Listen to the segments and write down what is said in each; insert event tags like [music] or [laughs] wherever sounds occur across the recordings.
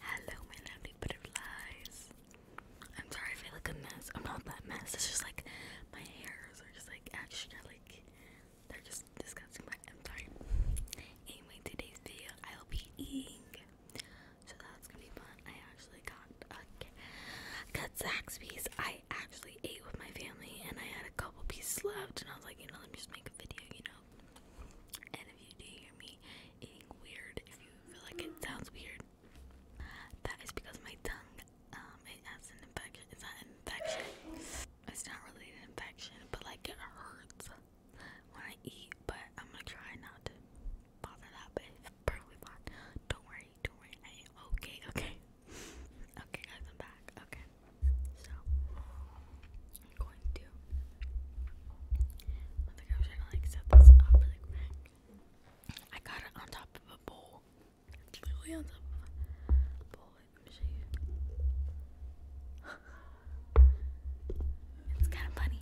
Hello, my lovely butterflies. I'm sorry if I look a mess. I'm not that mess. It's just like my hairs are just like extra, like they're just disgusting. But I'm sorry. Anyway, today's video I'll be eating, so that's gonna be fun. I actually got okay, got Zaxby's. I actually ate with my family, and I had a couple pieces left, and I was like, you know, let me just make video, you know. And if you do hear me eating weird, if you feel like it sounds weird, that is because my tongue, um, has an infection. It's not an infection. It's not really an infection, but like it hurts when I eat. But I'm gonna try not to bother that. But it's fine. Don't worry. Don't worry. I am okay. Okay. [laughs] Okay, guys, I'm back. Okay. So I'm going to. I think I'm trying to like set this up really quick. I got it on top of a bowl. It's literally on top of a bowl. it's kind of funny.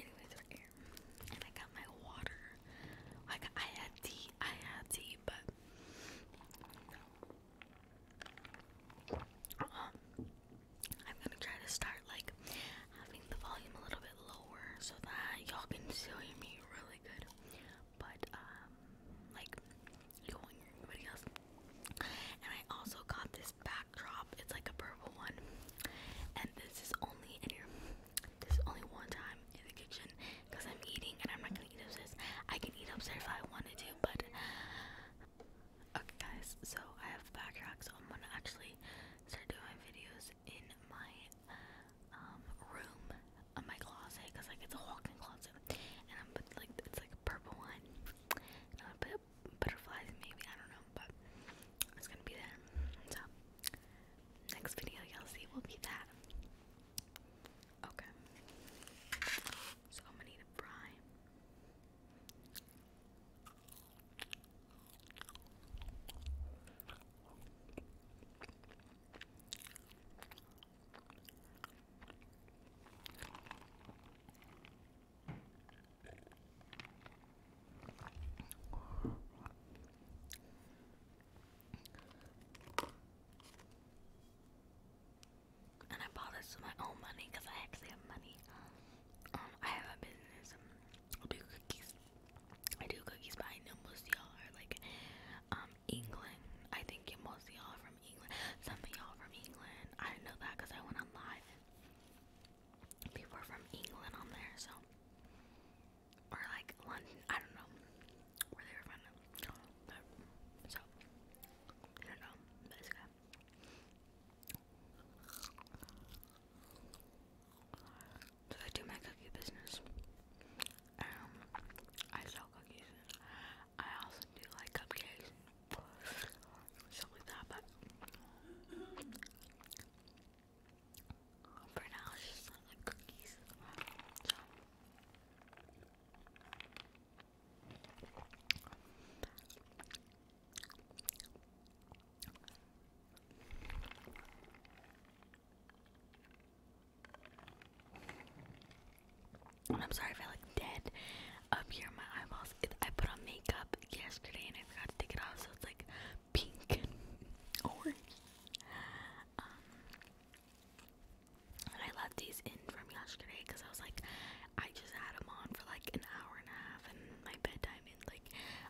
Anyways, we here. And I got my water. Like I had tea. I had tea, but I'm gonna try to start like having the volume a little bit lower so that y'all can see [laughs] me really good. But um, like you won't hear else. And I also got this backdrop. It's like a purple one, and this is only in here. This is only one time in the kitchen because I'm eating, and I'm not gonna eat upstairs. I can eat upstairs if I wanted to, but Okay guys, so I have backtracked, so I'm gonna actually start doing videos in my um room, on uh, my closet, cause like it's a walk-in closet, and I'm put like it's like a purple one, and I put butterflies maybe I don't know, but it's gonna be there. So next video y'all see will be that. Okay. So I'm gonna need a prime and I bought this with my own money because I actually have money. Um, I have a business. I do cookies. I do cookies, but I know most y'all are like, um, England. I think most y'all are from England. Some of y'all from England. I know that because I went on live. people are from England on there, so or like London. I don't know where they were from so, I don't know, but it's good. So I do my cookie business. Um, I sell cookies. I also do like cupcakes stuff like that, but for now it's just like cookies. I'm sorry if I look dead up here my eyeballs. I put on makeup yesterday and I forgot to take it off, so it's like pink and [laughs] orange. Um, and I left these in from yesterday because I was like, I just had them on for like an hour and a half, and my bedtime is like,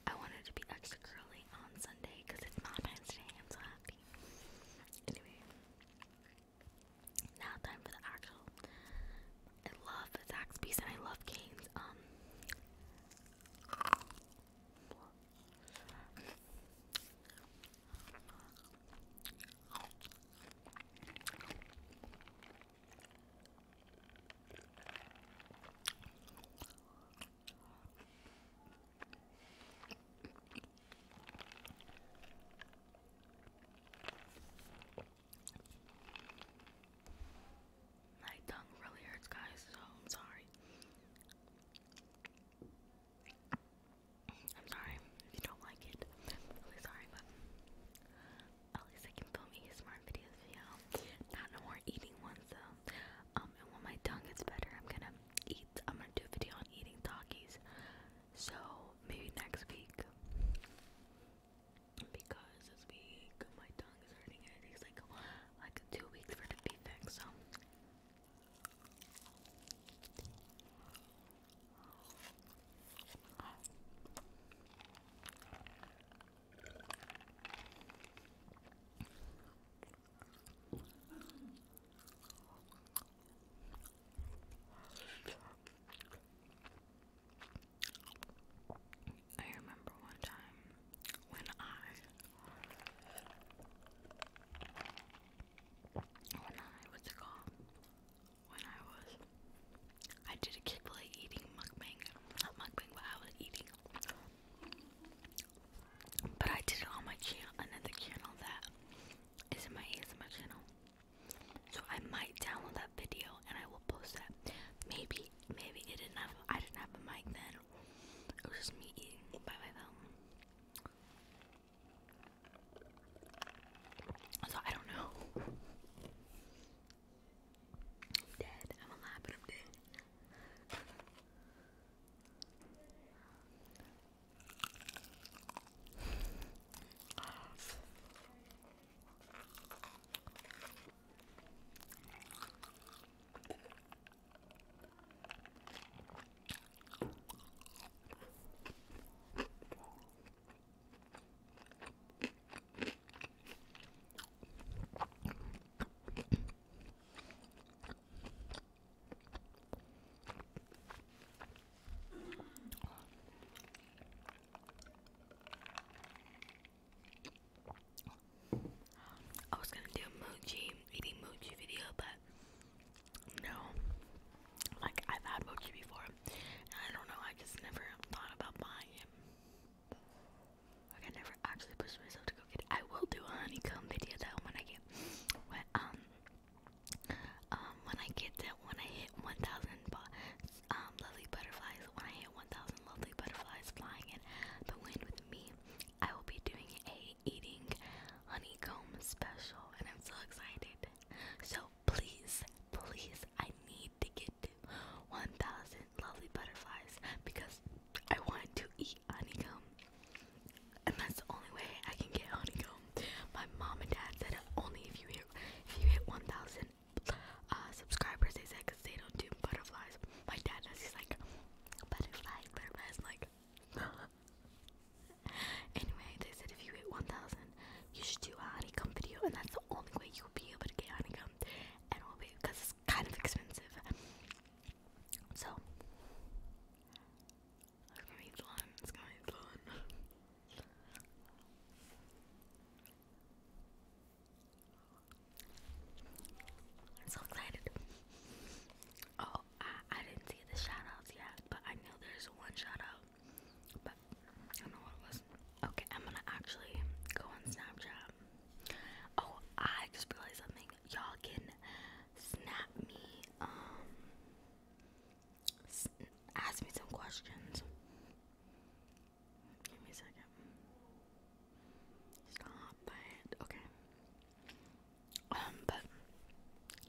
I wanted to be extra curly on Sunday because it's Valentine's Day. I'm so happy. Anyway, now time for the actual. I love the Zaxby's and I love Canes. Um, my tongue really hurts, guys, so I'm sorry. I'm sorry if you don't like it. really sorry, but at least I can film ASMR videos for you Not no more eating ones though. Um, when my tongue gets better, I'm gonna eat. I'm gonna do a video on eating Takis. So maybe next week. Because this week my tongue is hurting it takes like like two weeks for it to be So I remember one time when I when I what's it called? When I was I did a kid play eating mukbang. Not mukbang, but I was eating. But I did it on my channel another channel that is in my ASMR channel. So I might download that video and I will post that. Maybe maybe it didn't have I didn't have a mic then. It was just me eating by my phone. So I don't know. I'm dead. I'm alive, but I'm dead. I was gonna do mochi eating mochi video, but no. Like, I've had mochi before, I don't know, I just never thought about buying it. Like, I never actually pushed myself to go get it. I will do a honeycomb video, though, when I get, when, um, um when I get that, when I hit 1,000, um, lovely butterflies, when I hit 1,000 lovely butterflies flying in the wind with me, I will be doing a eating honeycomb special and I'm so excited. So please, please, I need to get to 1000 lovely butterflies because I want to eat honeycomb. And that's the only way I can get honeycomb. My mom and dad said only if you hit if you hit 1000 uh, subscribers, they said because they don't do butterflies. My dad does. He's like butterflies, like [laughs] anyway, they said if you hit 1,000, you should do a honeycomb video, and that's the only way you'll be able to get honeycomb. And we'll be because it's kind of expensive. So, it's gonna be fun. It's gonna be fun. I'm so excited. Oh, I, didn't see the shout yet, but I know there's one shout But I don't know what it was. Okay, I'm gonna actually go on Snapchat. Oh, I just realized something. Y'all can snap me, um, ask me some questions. Give me a second. Stop it. Okay. Um, but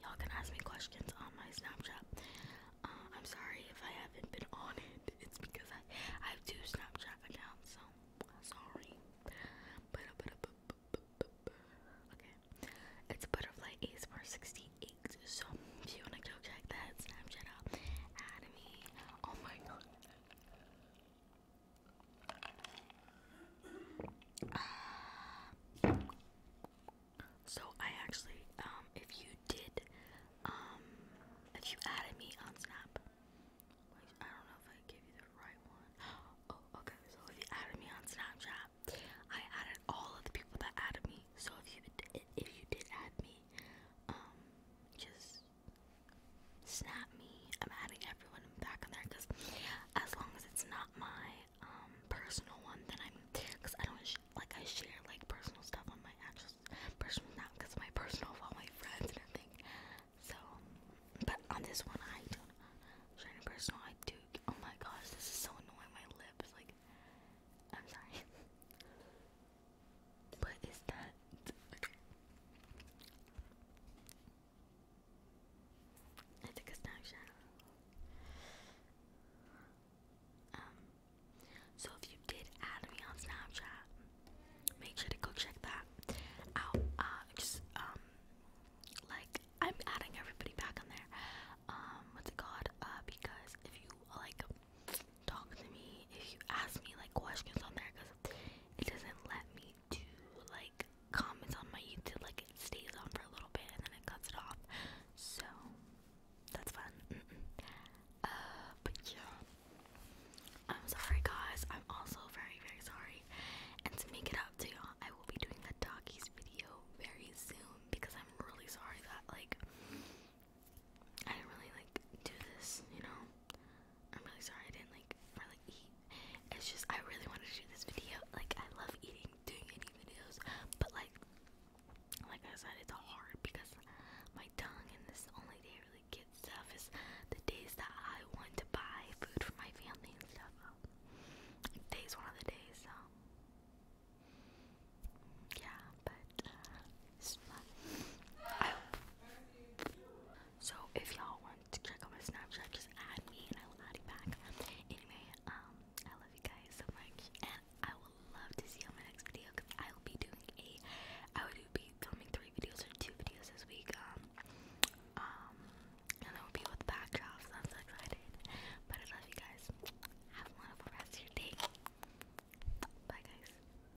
y'all can ask me questions on my Snapchat. Uh, I'm sorry if I haven't been on it. [laughs] It's because I, I have two Snapchat accounts, so sorry. But, but, but, but, but, but, okay. It's Butterfly Ace for So if you wanna check that Snapchat out, add me. Oh my uh, so I actually, um, if you did, um, if you added me on Snap, I don't know if I gave you the right one. [gasps] Oh, okay. So if you added me on Snapchat, I added all of the people that added me. So if you if you did add me, um, just snap me. I'm adding everyone back on there because as long as it's not my um, personal one, then I'm because I don't like I share like personal stuff on my actual personal not because my personal of all my friends and everything. So, but on this one I do not share personal. I do. Oh my gosh, this is so annoying. My lips like. I'm sorry. What [laughs] is that? I a snapshot. Um, so if you did add me on Snapchat, make sure to go check that out. Uh, just um, like I'm adding everybody back on there. Um, what's it called? Uh, because if you like talk to me, if you ask me like questions on there, because it doesn't let me do like comments on my YouTube. Like it stays on for a little bit and then it cuts it off. So that's fun. Uh, but yeah, I'm sorry guys. I'm also very very sorry. And to make it up to y'all, I will be doing the doggies video very soon because I'm really sorry that like I didn't really like do this, you know. I'm really sorry I didn't like really eat. It's just I really wanted to shoot this video. Like I love eating, doing any videos, but like like I said, it's hard because my tongue and this only day really get stuff is the days that I want to buy food for my family and stuff. Um, one of the days, so yeah, but uh, so if y'all want to check out my Snapchat, just add me and I will add you back. Anyway, um, I love you guys so much, and I will love to see on my next video because I will be doing a, I will be filming three videos or two videos this week. Um, um, and that will be with backdrops. I'm so excited. But I love you guys. Have a wonderful rest of your day. Bye, guys.